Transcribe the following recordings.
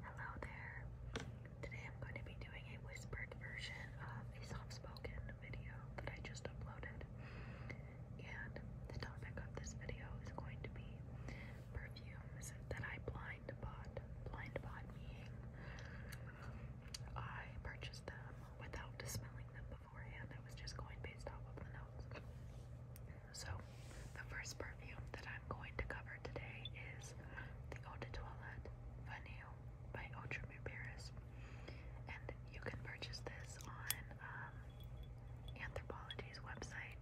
Hello there. Today I'm going to be doing a whispered version of a soft-spoken video that I just uploaded. And the topic of this video is going to be perfumes that I blind bought. Blind bought being, I purchased them without smelling them beforehand. I was just going based off of the notes. So, the first perfume that I'm going to cover today is the Eau de Toilette Vanille by Autremir Paris. And you can purchase this on um, Anthropologie's website.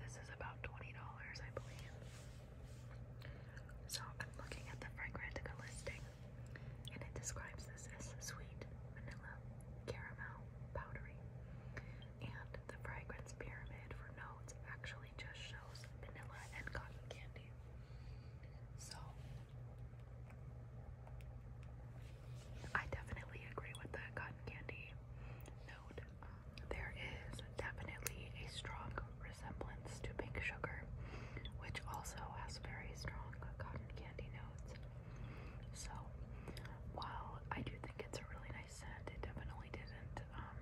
This is about $20, I believe. So, I'm looking at the Fragrantica listing, and it describes this as sweet, vanilla, caramel, powdery and the fragrance pyramid for notes actually just shows vanilla and cotton candy. So, I definitely agree with the cotton candy note. there is definitely a strong resemblance to pink sugar, which also has very strong cotton candy notes. So, while I do think it's a really nice scent. It definitely didn't um,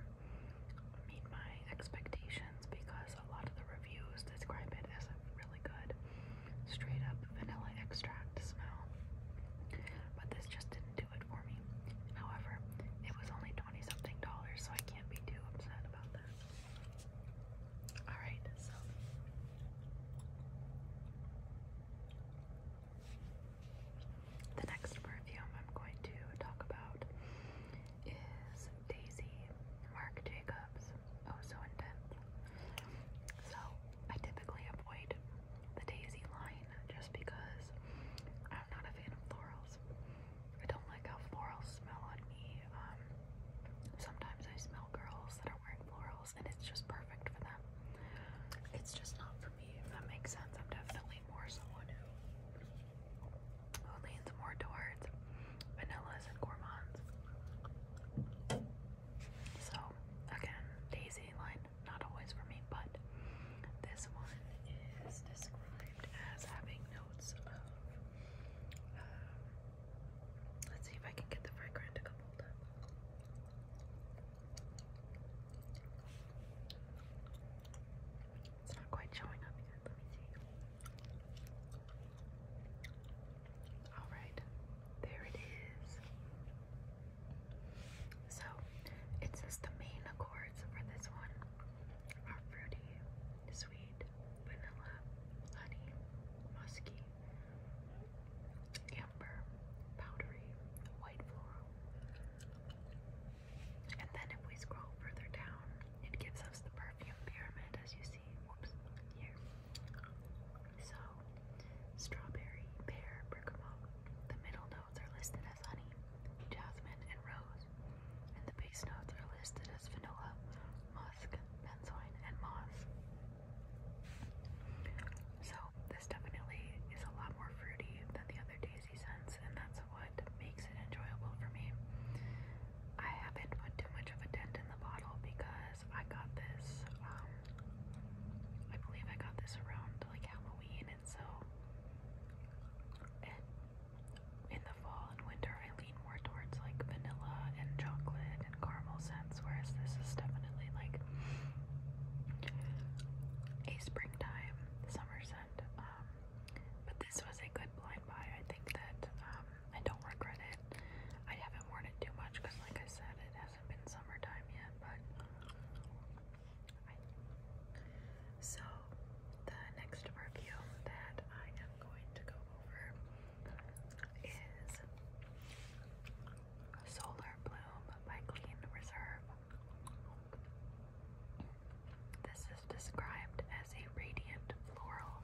meet my expectations because a lot of the reviews describe it as a really good straight up vanilla extract smell. But this just didn't do it for me. However, it was only 20 something dollars, so I can't be too upset about that. Alright, so the next perfume I'm going to talk about is Daisy Marc Jacobs. Oh, so intense. So, I typically avoid the Daisy line just because I'm not a fan of florals. I don't like how florals smell on me. Um, sometimes I smell girls that are wearing florals curls and it's just perfect for them. It's just not for me, if that makes sense. I'm definitely more someone who who leans more towards vanillas and gourmands. So again, daisy line, not always for me, but this one is described as having notes of um, Let's see if I can get the fragrant to come hold It's not quite showing up yet. Let me see. Alright, there it is. So, it says the main accords for this one are fruity, sweet, vanilla, honey, musky, amber, powdery, white floral. And then if we scroll further down, it gives us the perfume pyramid as you see. Whoops, here. So, strawberry, pear, bergamot. The middle notes are listed as honey, jasmine, and rose. And the base notes are listed as vanilla, Mosque, benzoin, and moss. So this definitely is a lot more fruity than the other daisy scents, and that's what makes it enjoyable for me. I haven't put too much of a dent in the bottle because I got this, um, I believe I got this around like Halloween, and so and in the fall and winter I lean more towards like vanilla and chocolate and caramel scents, whereas this is definitely like a springtime summer scent. Um, but this was a good blind buy. I think that um, I don't regret it. I haven't worn it too much because, like I said, it hasn't been summertime yet. But I... so the next perfume that I going to go over is Solar Bloom by Clean Reserve. This is described as a radiant floral.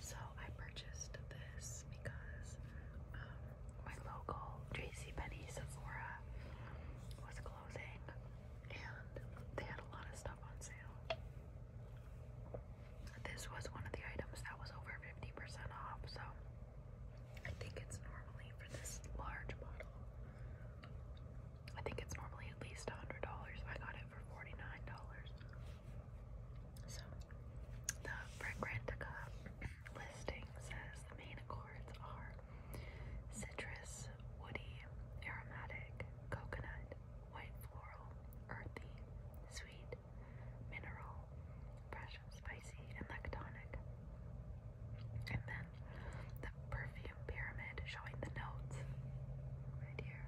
So I purchased this because um, my local J C JCPenney Sephora was closing and they had a lot of stuff on sale. This was one of the items that was over 50% off, so I think it's normally for this large bottle. I think it's normally at least $100. I got it for $49. So, the Fragrantica listing says the main accords are citrus, woody, aromatic, coconut, white floral, earthy, sweet, mineral, fresh, spicy, and lactonic. And then the perfume pyramid showing the notes right here.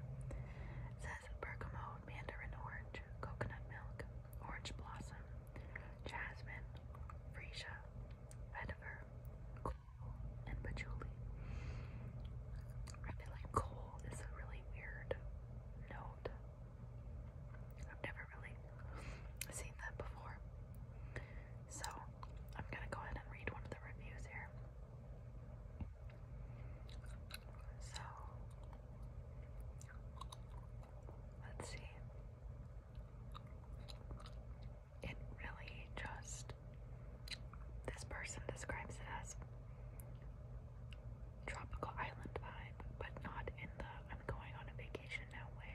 says bergamot, mandarin orange, coconut milk, orange blossom, jasmine, freesia, vetiver, and I feel like coal is a really weird note. I've never really seen that before. So I'm gonna go ahead and read one of the reviews here. So let's see it really just this person describes it as tropical island vibe, but not in the I'm going on a vacation now way.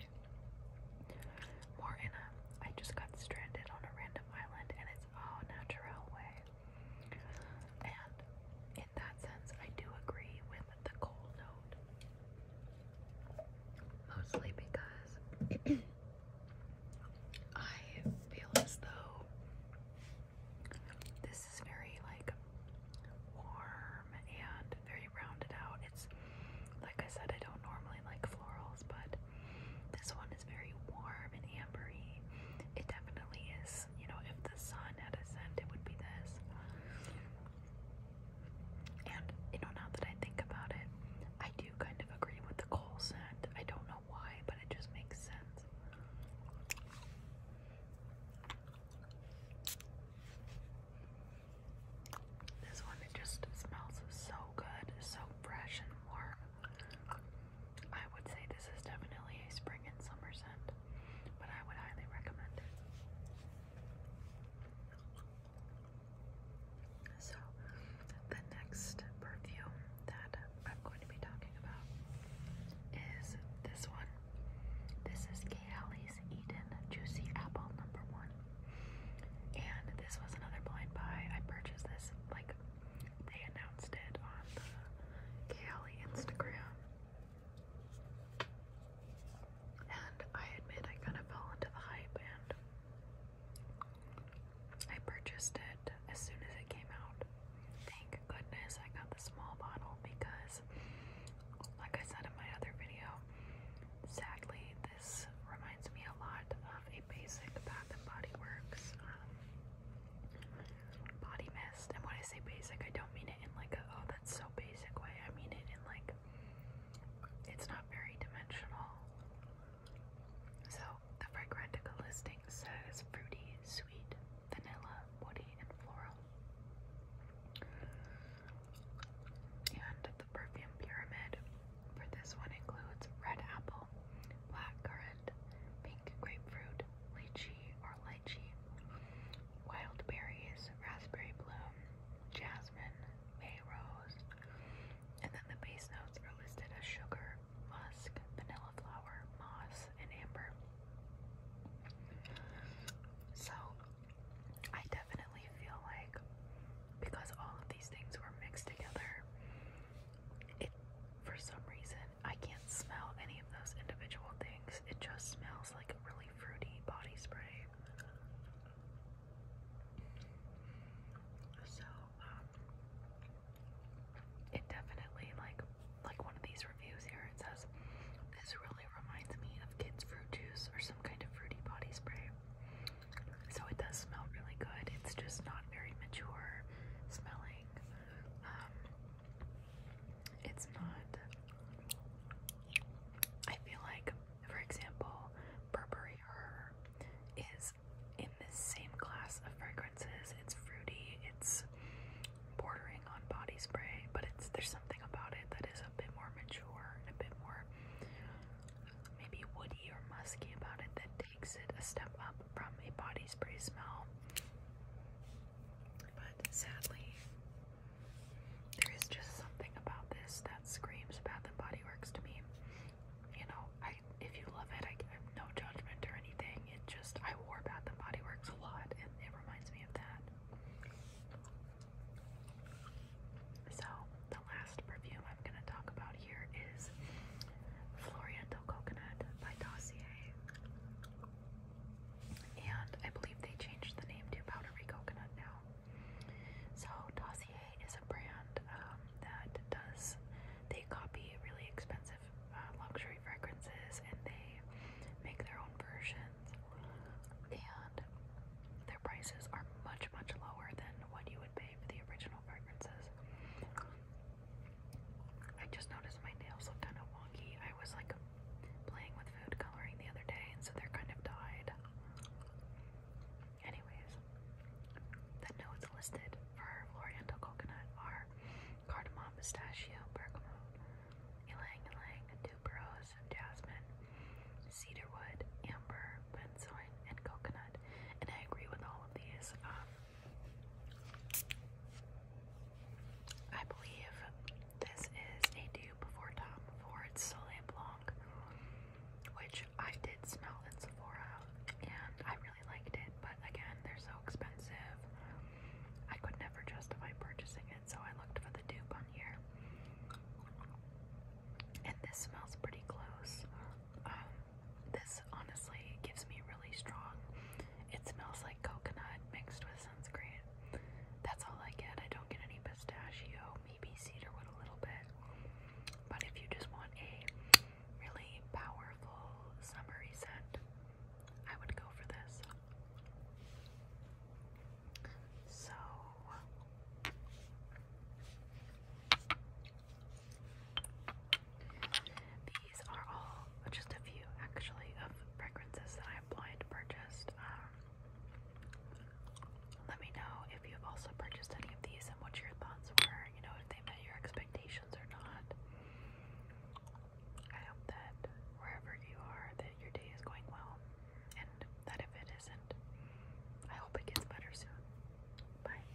More in a I just got stranded on a random island and it's all natural way. And in that sense, I do agree with the cold note. Mostly because I feel as though this is very like warm and very rounded out. It's like I said, I don't normally like florals, but this one is very warm and ambery. It definitely is, you know, if the sun had a scent, it would be this. And, you know, now that I think about it, I do kind of agree with the coal scent. I don't know why, but it just makes sense. This one, it just smells so good, so fresh and warm. I would say this is definitely a spring and summer scent, but I would highly recommend it. So, the next perfume that I'm going to be talking about is this one. This is Kate Eden Juicy Apple number one. And this was another blind buy. I purchased this, like, they announced it on the Kate Instagram. And I admit I kind of fell into the hype and I purchased it as soon as it came out. Thank goodness I got the small bottle because, like I said in my other video, sadly this reminds me a lot of a basic Bath and Body Works um, body mist. And when I say basic, I don't mean it in like oh that's so basic way. I mean it in like it's not very dimensional. So, the Fragrantica listing says fruity, sweet, vanilla, woody, and floral. And the perfume pyramid for this one includes red apple, black currant, pink grapefruit, lychee or lychee, wild berries, raspberry bloom, jasmine, May rose, and then the base notes are listed as sugar, musk, vanilla flower, moss, and amber. So I definitely feel like because all of these things were mixed together, it for some reason I can't smell any of those individual things. It just smells like really fruity body spray. So, um, it definitely like like one of these reviews here. It says this really reminds me of kids' fruit juice or some kind of fruity body spray. So it does smell really good. It's just not very mature smelling. Um, it's not. I feel like, for example, Burberry Her is in the same class of fragrances. It's fruity, it's bordering on body spray, but it's there's something about it that is a bit more mature and a bit more maybe woody or musky about it that takes it a step up from a body spray smell. But sadly, there is just something about this that screams Bath and Body Works to me. You know, I if you love it, I have no judgment or anything. It just I wore Bath and Body Works a lot, and it reminds me of that. So the last perfume I'm gonna talk about here is Floriental Coconut by Dossier. And I believe they changed the name to Powdery Coconut now. So Dossier is a brand um, that does, they copy really expensive uh, luxury fragrances and they make their own versions. And their prices are much, much lower than what you would pay for the original fragrances. I just noticed my nails look kind of wonky. I was like playing with food coloring the other day, and so they're kind of dyed. Anyways, the notes listed for L'Oriental Coconut are cardamom, pistachio, bergamot, ylang ylang, tuberose, jasmine, cedarwood, amber, benzoin, and coconut. And I agree with all of these. Um, I believe this is a dupe for Tom Ford's Soleil Blanc, which I did smell at Sephora and I really liked it, but again, they're so expensive. I could never justify purchasing it, so I looked for the dupe on here. And this smells pretty close. Um, this honestly gives me really strong. It smells like coconut mixed with sunscreen. That's all I get. I don't get any pistachio, maybe cedarwood a little bit. But if you just want a really powerful summery scent, I would go for this. So these are all just a few actually of fragrances that I blind purchased. Um, let me know if you've also purchased any of these and what your thoughts were, you know, if they met your expectations or not. I hope that wherever you are that your day is going well and that if it isn't, I hope it gets better soon. Bye.